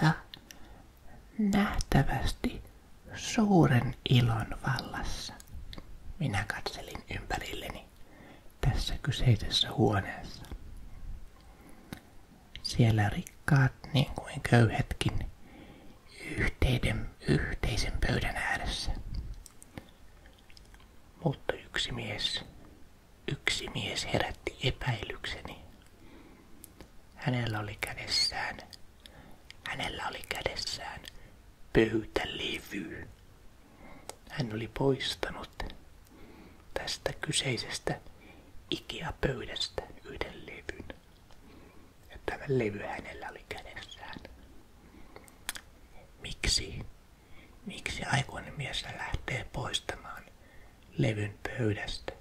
Ja nähtävästi suuren ilon vallassa minä katselin ympärilleni tässä kyseisessä huoneessa. Siellä rikkaat niin kuin köyhätkin yhteiden, yhteisen pöydän ääressä. Mutta yksi mies Yksi mies herätti epäilykseni. Hänellä oli kädessään, hänellä oli kädessään pöytälevy. Hän oli poistanut tästä kyseisestä Ikea-pöydästä yhden levyn. Ja tämä levy hänellä oli kädessään. Miksi Miksi aikuinen mies lähtee poistamaan levyn pöydästä?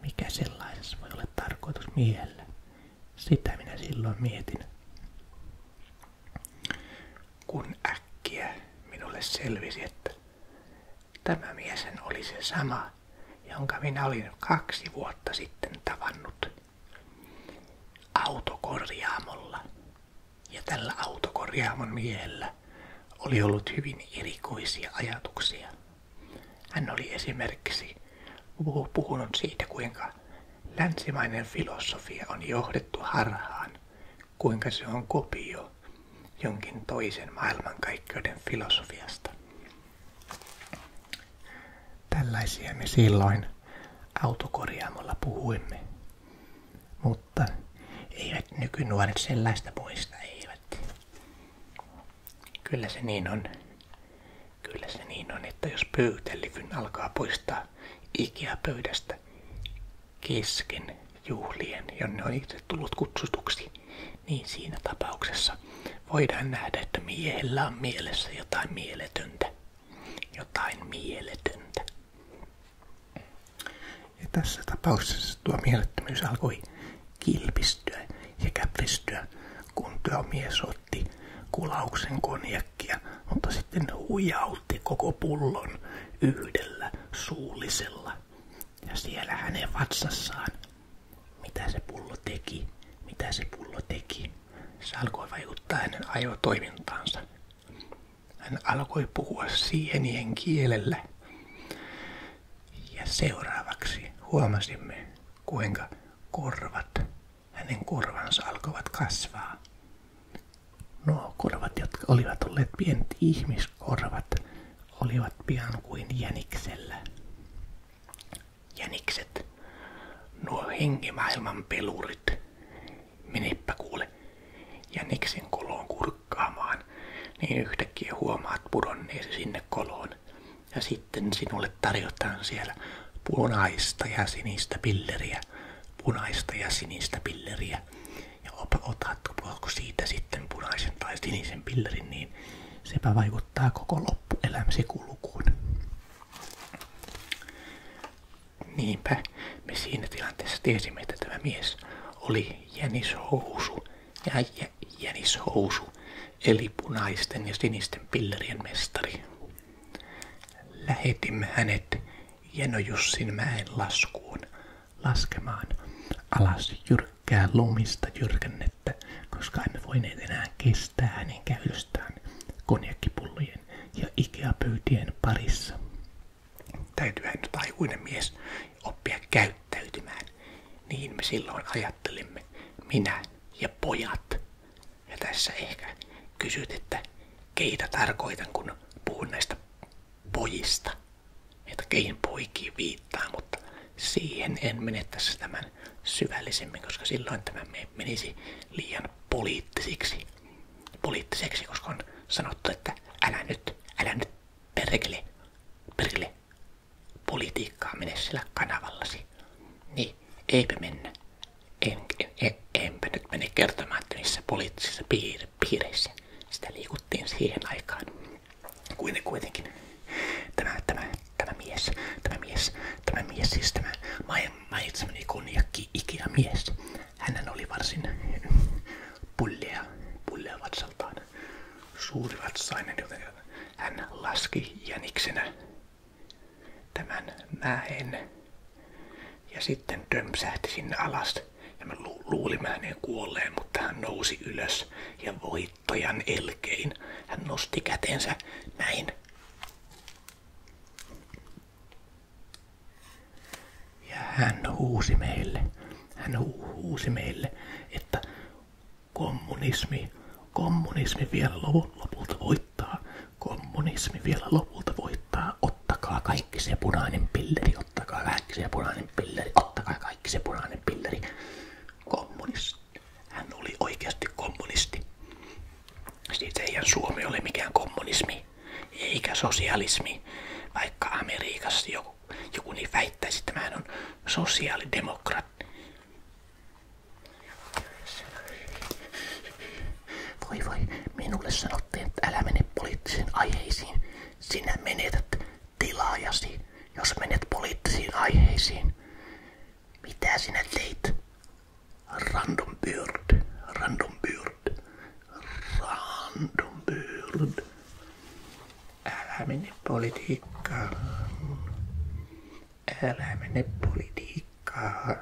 Mikä sellaisessa voi olla tarkoitus miehellä? Sitä minä silloin mietin. Kun äkkiä minulle selvisi, että tämä mies oli se sama, jonka minä olin kaksi vuotta sitten tavannut autokorjaamolla ja tällä autokorjaamon miehellä oli ollut hyvin erikoisia ajatuksia. Hän oli esimerkiksi puhunut siitä, kuinka länsimainen filosofia on johdettu harhaan, kuinka se on kopio jonkin toisen maailmankaikkeuden filosofiasta. Tällaisia me silloin autokorjaamolla puhuimme mutta eivät nykynuoret sellaista muista, eivät. Kyllä se niin on. Kyllä se niin on, että jos pöytällikyn alkaa poistaa ikiä pöydästä kesken juhlien, jonne on itse tullut kutsutuksi, niin siinä tapauksessa voidaan nähdä, että miehellä on mielessä jotain mieletöntä. Jotain mieletöntä. Ja tässä tapauksessa tuo mielettömyys alkoi kilpistyä ja käpristyä, kun mies otti kulauksen konjakkia, mutta sitten huijautti koko pullon yhdellä suullisella. Ja siellä hänen vatsassaan, mitä se pullo teki, mitä se pullo teki, se alkoi vaikuttaa hänen ajotoimintaansa. Hän alkoi puhua sienien kielellä. Ja seuraavaksi huomasimme, kuinka korvat, hänen korvansa alkoivat kasvaa. Nuo korvat, jotka olivat olleet pienet ihmiskorvat, olivat pian kuin jäniksellä. Jänikset, nuo henkimaailman pelurit, menepä kuule ja jäniksen koloon kurkkaamaan, niin yhtäkkiä huomaat pudonneesi sinne koloon. Ja sitten sinulle tarjotaan siellä punaista ja sinistä pilleriä, punaista ja sinistä pilleriä. Ja opa, otatko siitä sitten punaisen tai sinisen pillerin, niin sepä vaikuttaa koko loppuelämäsi kulkuun. Niinpä me siinä tilanteessa tiesimme, että tämä mies oli jänishousu ja jä, jänishousu, eli punaisten ja sinisten pillerien mestari. Lähetimme hänet Jenojussin mäen laskuun laskemaan alas jyrkkää lumista jyrkännettä, koska emme voineet enää kestää hänen käytöstään konjakkipullojen ja ikeapöytien parissa täytyyhän nyt aikuinen mies oppia käyttäytymään. Niin me silloin ajattelimme, minä ja pojat. Ja tässä ehkä kysyt, että keitä tarkoitan, kun puhun näistä pojista. Että keihin poikiin viittaa, mutta siihen en mene tässä tämän syvällisemmin, koska silloin tämä menisi liian poliittisiksi poliittiseksi, koska on sanottu, että älä nyt, älä nyt perkele, perkele politiikkaa mene sillä kanavallasi. Niin, eipä mennä. En, en, en, enpä nyt mene kertomaan, että missä poliittisissa piir, piireissä sitä liikuttiin siihen aikaan. Kuitenkin, kuitenkin tämä, tämä, tämä mies, tämä mies, tämä mies, siis tämä mainitsemani konjakki ikinä mies, Hänhän oli varsin pullea, pullea vatsaltaan suuri vatsainen, joten hän laski jäniksenä tämän mäen ja sitten tömpsähti sinne alas. Ja mä lu- luulin hänen kuolleen, mutta hän nousi ylös ja voittajan elkein hän nosti kätensä näin. Ja hän huusi meille, hän hu- huusi meille, että kommunismi, kommunismi vielä lopulta voittaa, kommunismi vielä lopulta voittaa, ottakaa kaikki se punainen pilleri, ottakaa kaikki se punainen pilleri, ottakaa kaikki se punainen pilleri. Kommunisti, Hän oli oikeasti kommunisti. Siitä ei Suomi ole mikään kommunismi eikä sosialismi, vaikka Amerikassa joku, joku niin väittäisi, että tämähän on sosiaalidemokraatti. Voi voi, minulle sanottiin, että älä mene poliittisiin aiheisiin. Sinä menetät tilaajasi, jos menet poliittisiin aiheisiin. Mitä sinä teit? Random Bird, Random Bird, random bird. Älä mene politiikkaan. Älä mene politiikkaan.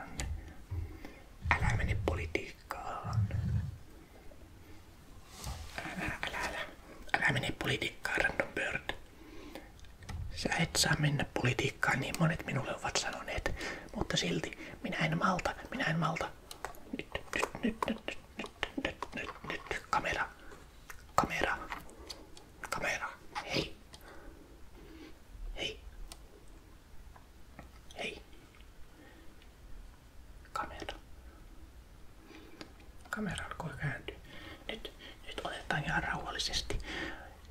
Älä mene politiikkaan. Älä, älä, älä. Älä mene politiikkaan, random bird. Sä et saa mennä politiikkaan, niin monet minulle ovat sanoneet. Mutta silti, minä en malta, minä en malta. Nyt, nyt, nyt, nyt, nyt, nyt, nyt, nyt, kamera, kamera, kamera, hei, hei, hei, kamera, kamera alkoi kääntyä. Nyt, nyt otetaan ihan rauhallisesti.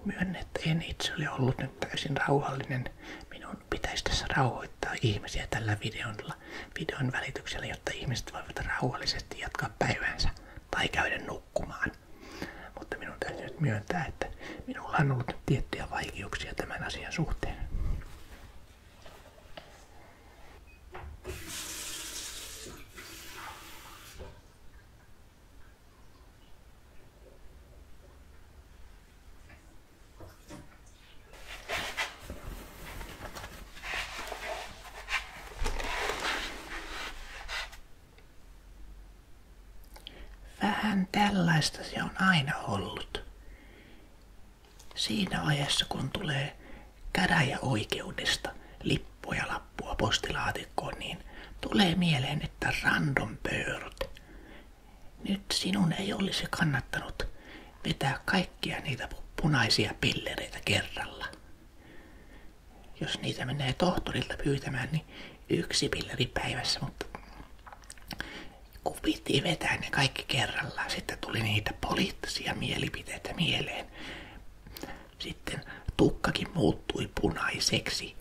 Myönnä, että en itse oli ollut nyt täysin rauhallinen minun pitäisi tässä rauhoittaa ihmisiä tällä videolla, videon välityksellä, jotta ihmiset voivat rauhallisesti jatkaa päivänsä tai käydä nukkumaan. Mutta minun täytyy nyt myöntää, että minulla on ollut tiettyjä vaikeuksia tämän asian suhteen. Vähän tällaista se on aina ollut. Siinä ajassa, kun tulee käräjäoikeudesta oikeudesta, lippuja lappua postilaatikkoon, niin tulee mieleen, että random bird, nyt sinun ei olisi kannattanut vetää kaikkia niitä punaisia pillereitä kerralla. Jos niitä menee tohtorilta pyytämään, niin yksi pilleri päivässä, mutta kun piti vetää ne kaikki kerrallaan, sitten tuli niitä poliittisia mielipiteitä mieleen. Sitten tukkakin muuttui punaiseksi.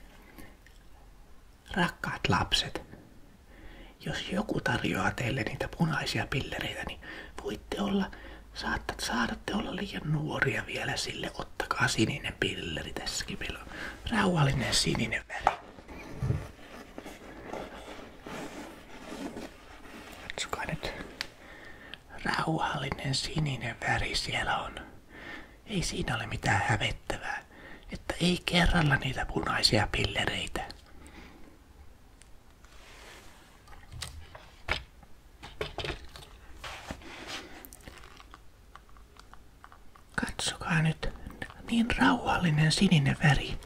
Rakkaat lapset, jos joku tarjoaa teille niitä punaisia pillereitä, niin voitte olla, saattat, saatatte olla liian nuoria vielä sille. Ottakaa sininen pilleri tässäkin. Meillä rauhallinen sininen väli. Katsokaa nyt. Rauhallinen sininen väri siellä on. Ei siinä ole mitään hävettävää, että ei kerralla niitä punaisia pillereitä. Katsokaa nyt, niin rauhallinen sininen väri.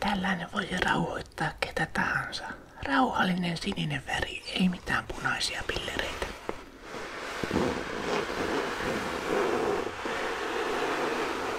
Tällainen voi rauhoittaa ketä tahansa. Rauhallinen sininen väri, ei mitään punaisia pillereitä.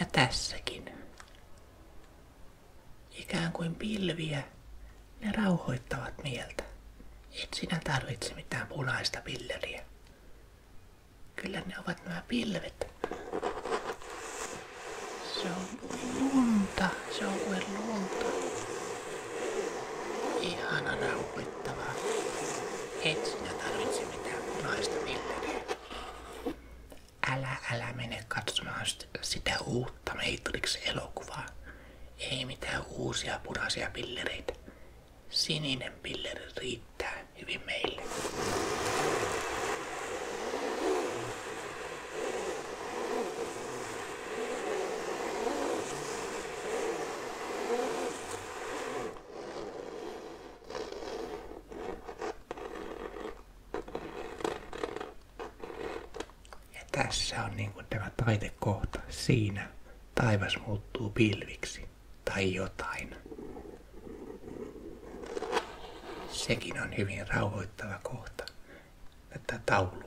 Ja tässäkin. Ikään kuin pilviä, ne rauhoittavat mieltä. Et sinä tarvitse mitään punaista pilleriä. Kyllä ne ovat nämä pilvet, se on lunta, se on kuin lunta. Ihana nauhoittavaa. Et sinä tarvitse mitään punaista millään. Älä, älä mene katsomaan sitä uutta Matrix-elokuvaa. Ei mitään uusia punaisia pillereitä. Sininen pilleri riittää hyvin meille. Ja tässä on niin kuin tämä taidekohta. Siinä taivas muuttuu pilviksi tai jotain. Sekin on hyvin rauhoittava kohta tätä taulua.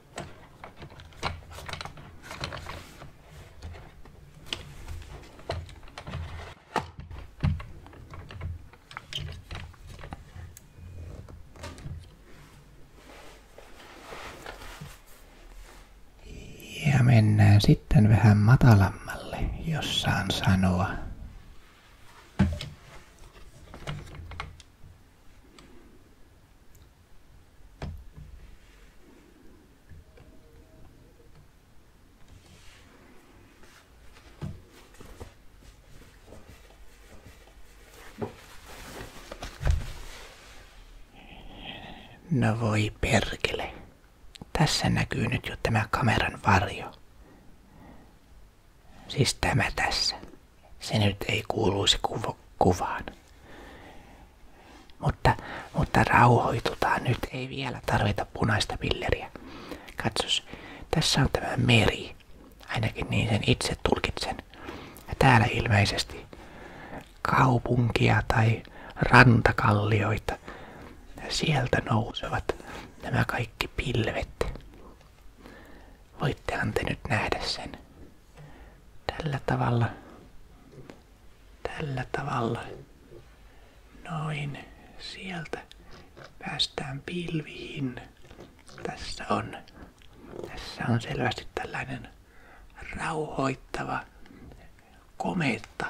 Ja mennään sitten vähän matalammalle, jos saan sanoa. No voi perkele. Tässä näkyy nyt jo tämä kameran varjo. Siis tämä tässä. Se nyt ei kuuluisi kuv- kuvaan. Mutta, mutta rauhoitutaan nyt, ei vielä tarvita punaista pilleriä. Katsos, tässä on tämä meri. Ainakin niin sen itse tulkitsen. Ja täällä ilmeisesti kaupunkia tai rantakallioita. Ja sieltä nousevat nämä kaikki pilvet. Voitte te nyt nähdä sen tällä tavalla, tällä tavalla, noin sieltä päästään pilviin. Tässä on, tässä on selvästi tällainen rauhoittava kometta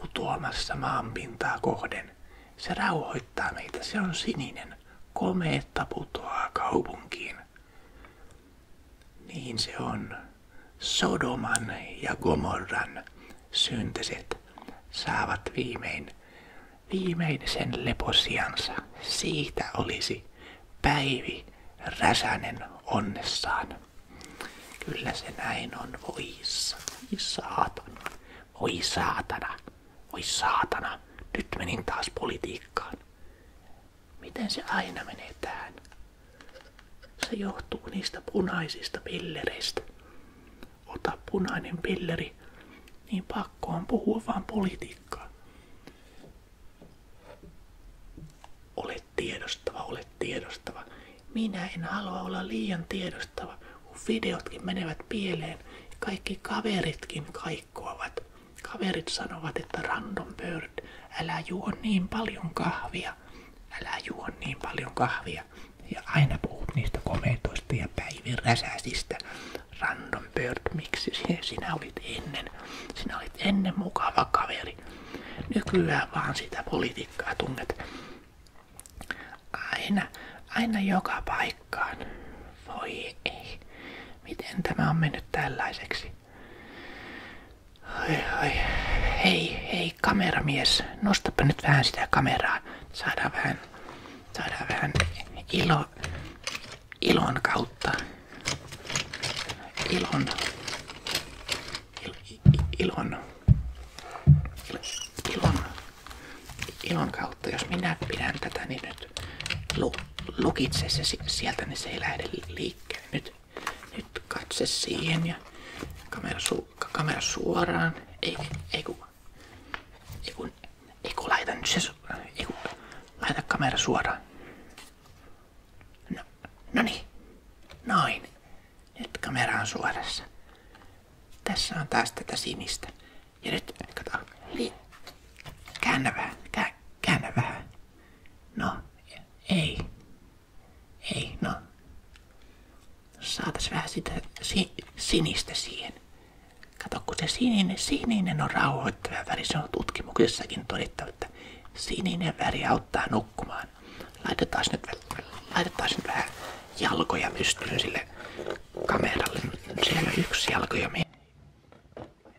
putoamassa maanpintaa kohden. Se rauhoittaa meitä, se on sininen komeetta putoaa kaupunkiin. Niin se on. Sodoman ja Gomorran syntiset saavat viimein, viimein sen leposiansa. Siitä olisi Päivi Räsänen onnessaan. Kyllä se näin on. Voi saatana. Voi saatana. Voi saatana, nyt menin taas politiikkaan. Miten se aina menee tähän? Se johtuu niistä punaisista pillereistä. Ota punainen pilleri, niin pakko on puhua vaan politiikkaa. Olet tiedostava, olet tiedostava. Minä en halua olla liian tiedostava, kun videotkin menevät pieleen ja kaikki kaveritkin kaikkoavat. Kaverit sanovat, että Random Bird, älä juo niin paljon kahvia, älä juo niin paljon kahvia. Ja aina puhut niistä komentoista ja päiviräsäsistä. Random Bird, miksi sinä olit ennen? Sinä olit ennen mukava kaveri. Nykyään vaan sitä politiikkaa tunnet. Aina, aina joka paikka paikkaan. Voi ei. Miten tämä on mennyt tällaiseksi? Oi, oi. Hei, hei kameramies, nostapa nyt vähän sitä kameraa. Saadaan vähän, saadaan vähän ilo, ilon kautta. Ilon, il, ilon, ilon, ilon kautta. Jos minä pidän tätä, niin nyt nyt lu, lukitse se sieltä, niin se ei lähde liikkeelle. Nyt, nyt katse siihen ja kamera, su, kamera suoraan. Ei, ei kun, ei kun, ei kun laita nyt se, ei kun, laita kamera suoraan. No, no niin, noin. Nyt kamera on suorassa. Tässä on taas tätä sinistä. Ja nyt, kato. Niin. Käännä vähän. Kä, käännä vähän. No, ei. Ei, no. Saatais vähän sitä si, sinistä siihen. Kato, kun se sininen, sininen on rauhoittava väri. Se on tutkimuksessakin todettu, että sininen väri auttaa nukkumaan. Laitetaan nyt, laitetaan nyt vähän jalkoja pystyyn sille kameralle. Siellä on yksi jalkoja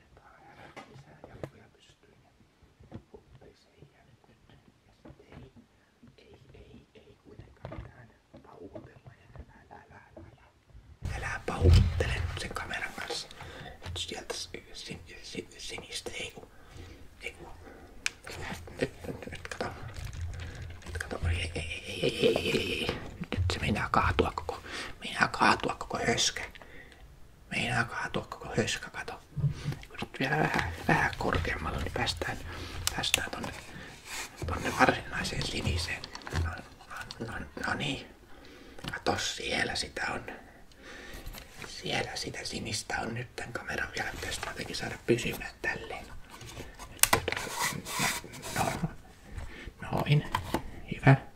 kertaa ja lisää jalkoja pystyyn ja huppeeseen ja nyt. Ja sitten ei, ei, ei, ei kuitenkaan mitään pauhutella ja älä, älä, älä, älä. Älä pauhuttele sen kameran kanssa. Nyt sieltä sin, sin, sinistä ei kun, ei kun. Nyt, nyt, nyt kato. Nyt kato, ei, ei, ei, ei, ei, ei, ei. Nyt se meinaa kaatua koko Meinaa kaatua koko höskä. Meinaa kaatua koko höskä, kato. nyt vielä vähän, vähän korkeammalle, niin päästään, päästään tonne, tonne varsinaiseen siniseen. No, no, no, no niin. Kato, siellä sitä on. Siellä sitä sinistä on nyt tämän kameran vielä. Pitäisi jotenkin saada pysymään tälleen. No, no, noin. Hyvä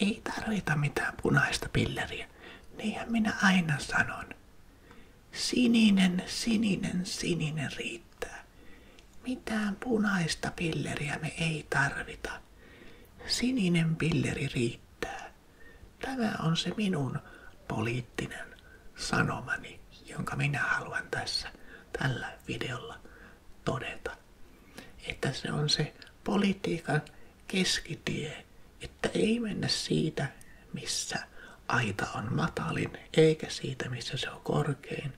Ei tarvita mitään punaista pilleriä. Niinhän minä aina sanon. Sininen, sininen, sininen riittää. Mitään punaista pilleriä me ei tarvita. Sininen pilleri riittää. Tämä on se minun poliittinen sanomani, jonka minä haluan tässä tällä videolla todeta. Että se on se politiikan keskitie, että ei mennä siitä, missä aita on matalin, eikä siitä, missä se on korkein,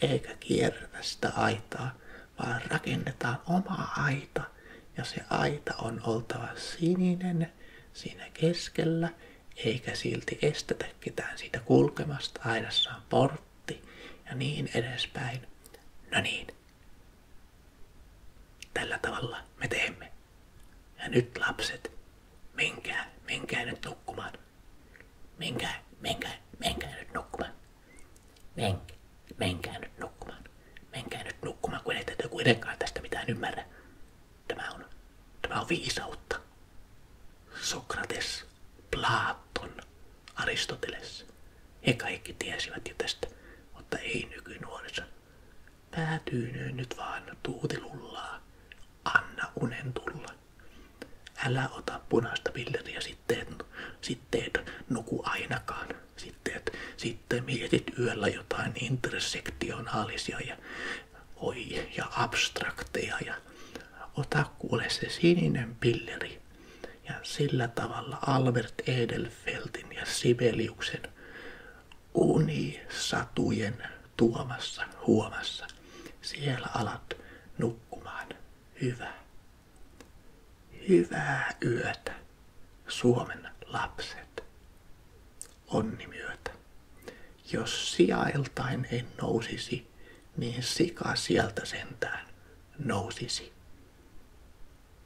eikä kierretä sitä aitaa, vaan rakennetaan oma aita. Ja se aita on oltava sininen siinä keskellä, eikä silti estetä ketään siitä kulkemasta. Aidassa on portti ja niin edespäin. No niin, Tällä tavalla me teemme. Ja nyt lapset, menkää, menkää nyt nukkumaan. Menkää, menkää, menkää nyt nukkumaan. Menkää, menkää nyt nukkumaan. Menkää nyt nukkumaan, kun ette kuitenkaan tästä mitään ymmärrä. Tämä on, tämä on viisautta. Sokrates, Platon, Aristoteles, he kaikki tiesivät jo tästä, mutta ei nykynuorissa. Päätyynöön nyt vaan tuutilullaa. Anna unen tulla. Älä ota punaista pilleriä sitten, sitten nuku ainakaan. Sitten, sitten mietit yöllä jotain intersektionaalisia ja, oi, ja abstrakteja ja ota kuule se sininen pilleri. Ja sillä tavalla Albert Edelfeltin ja Sibeliuksen unisatujen tuomassa huomassa siellä alat nukkumaan. Hyvä. Hyvää yötä, Suomen lapset. Onnimyötä. Jos sijailtain en nousisi, niin sika sieltä sentään nousisi.